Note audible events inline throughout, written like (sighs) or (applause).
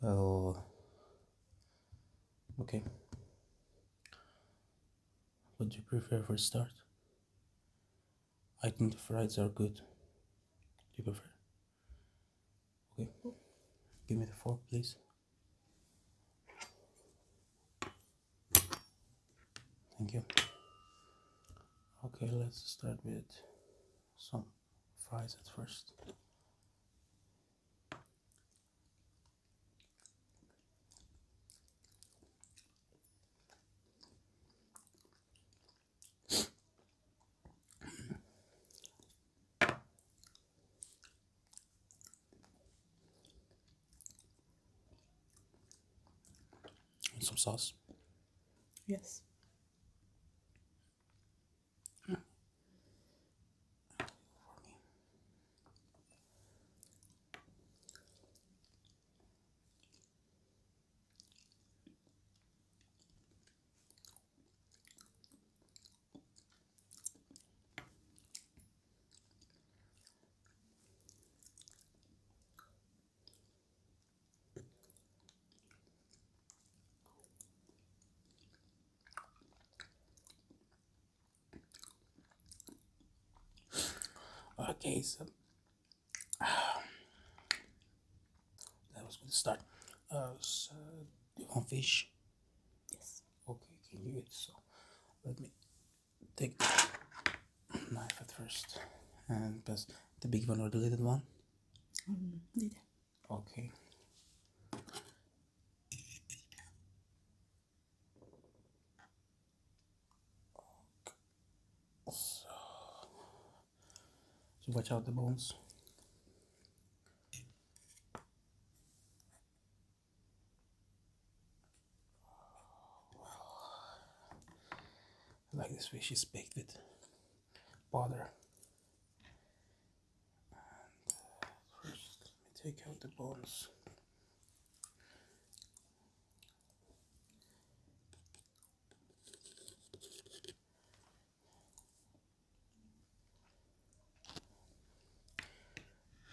Well, okay. What do you prefer for start? I think the fries are good. Do you prefer? Okay. Give me the fork, please. Thank you. Okay, let's start with some fries at first. some sauce. Yes. Oh. Oh, for me. Okay, so um, that was good start. Uh, so you want fish? Yes. Okay, can you it. So let me take the knife at first and pass the big one or the little one. Okay. So, so watch out the bones. I like this fish is baked with butter. Uh, first, let me take out the bones.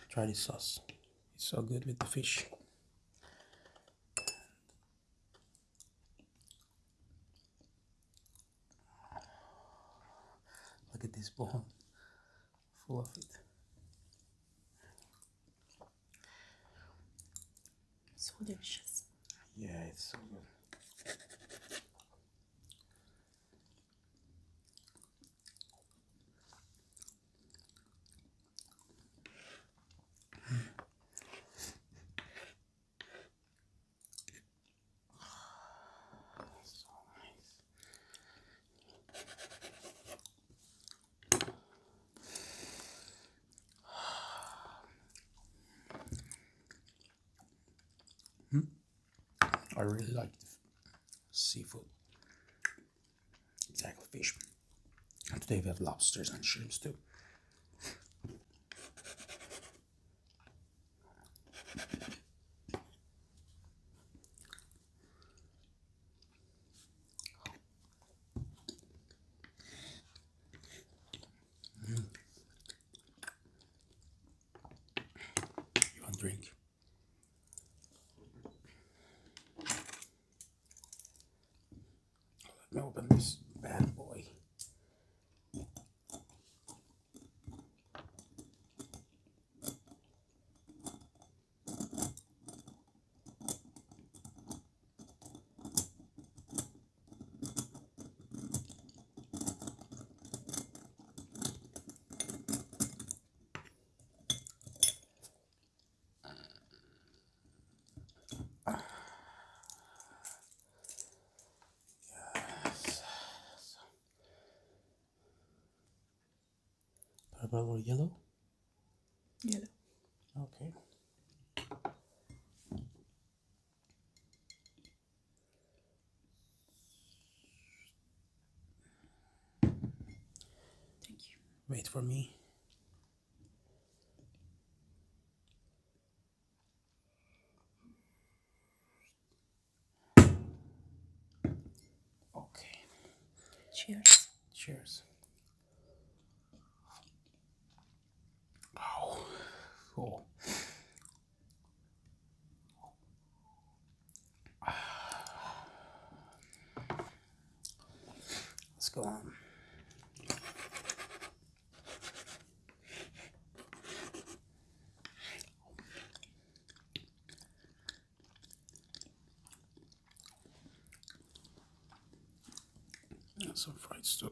Try this sauce. It's so good with the fish. Look at this bone full of it. So delicious. Yeah, it's so good. (sighs) I really like the seafood, it's fish. And today we have lobsters and shrimps too. Mm. You want drink? Let me open this bad boy purple or yellow? Yellow. Okay. Thank you. Wait for me. Okay. Cheers. Cheers. Oh, cool. Let's go on. That's some fried stuff.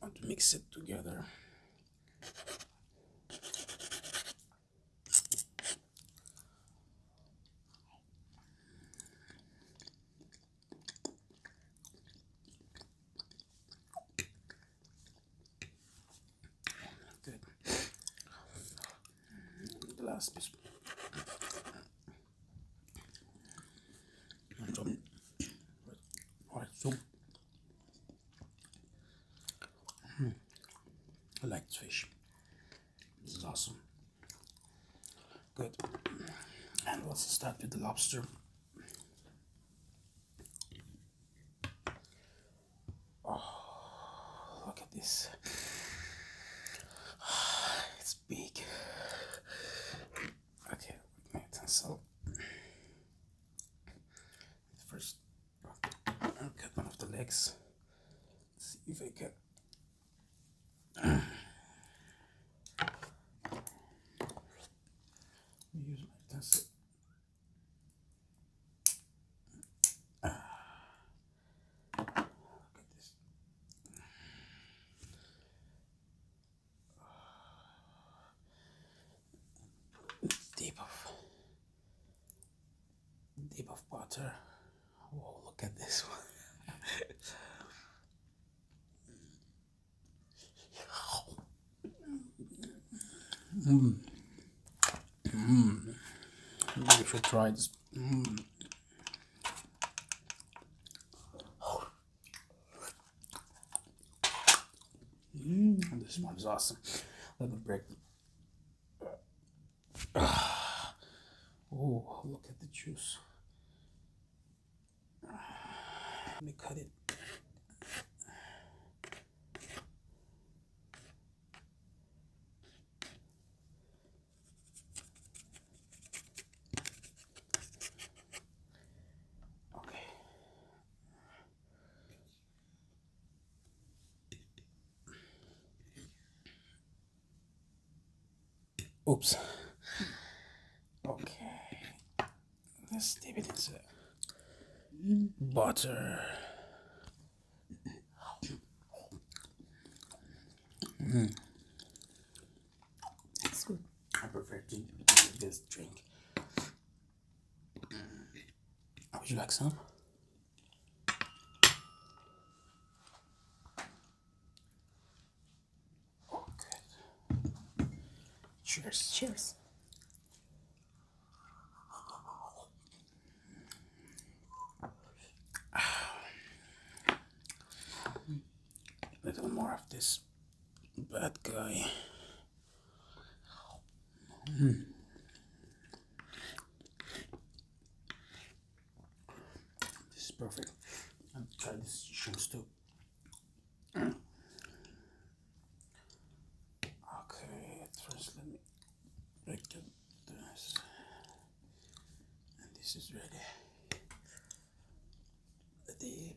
want to mix it together good the last piece and Hmm. I like fish. This is awesome. Good. And let's start with the lobster. Oh, look at this. (sighs) It's big. Okay, with my utensil. 1st cut one of the legs. see if I can. Use my utensil. Ah deep of deep of water. Whoa, look at this one. mm. Mm. Maybe we try this. Mm. Mm, this one's awesome. Let me break. Ah. (sighs) Oh, look at the juice. Let me cut it. Okay. Oops. Okay. Let's dip it into butter. Hmm. It's good. I prefer to this drink. Uh, would you like some? Okay. Cheers. Cheers. (sighs) A little more of this Bad guy. Hmm. This is perfect. I'll try this shrimp too. Okay, first let me break the, this. And this is ready. Deep.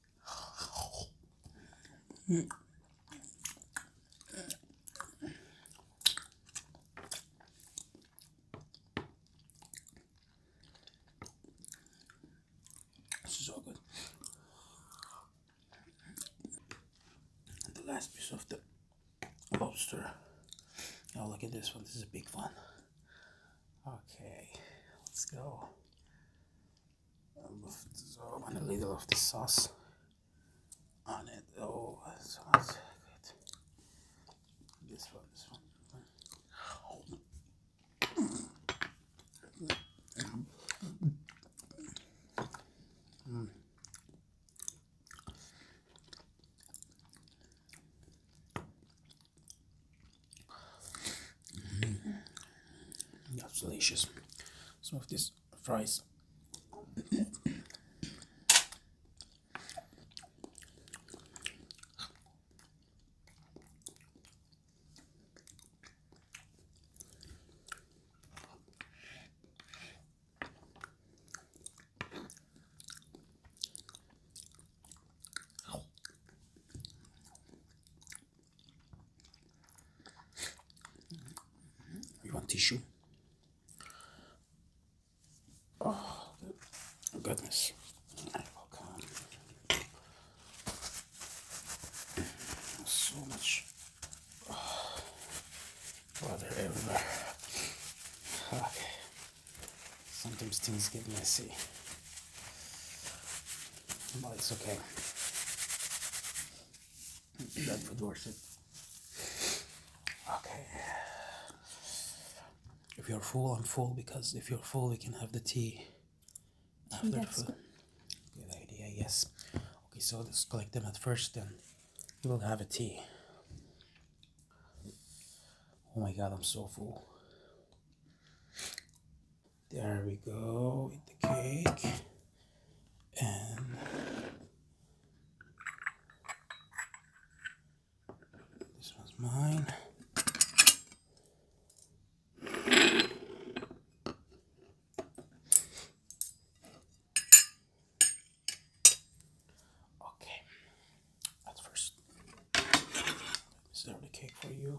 This is all good. the last piece of the lobster. Now look at this one. This is a big one. Okay, let's go. I'm going to little of the sauce on it. Oh, sauce. Good. This one, this one. Mm-hmm. That's delicious. Some of these fries. You want tissue? Oh, goodness. So much oh, everywhere sometimes things get messy but it's okay (clears throat) that would worship okay if you're full I'm full because if you're full we can have the tea after good idea yes okay so let's collect them at first then we'll have a tea oh my god I'm so full there we go with the cake. And this was mine. Okay. At first, serve the cake for you.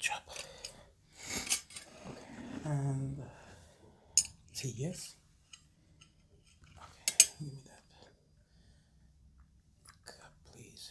Drop. And uh, say yes. Okay, give me that. God, please.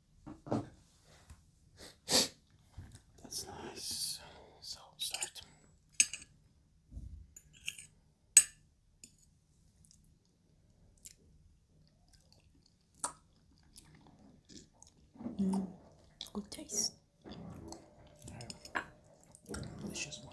That's nice. So start. Mm, good taste. Delicious one.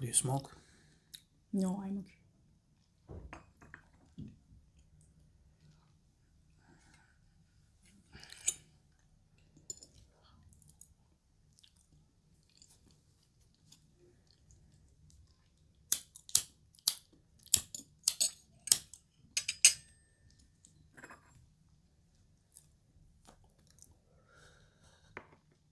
Do you smoke? No, I'm okay.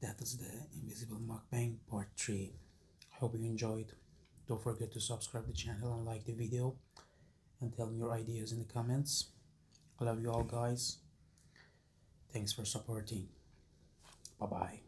that is the invisible Mockbang part 3 hope you enjoyed don't forget to subscribe the channel and like the video and tell me your ideas in the comments love you all guys thanks for supporting bye bye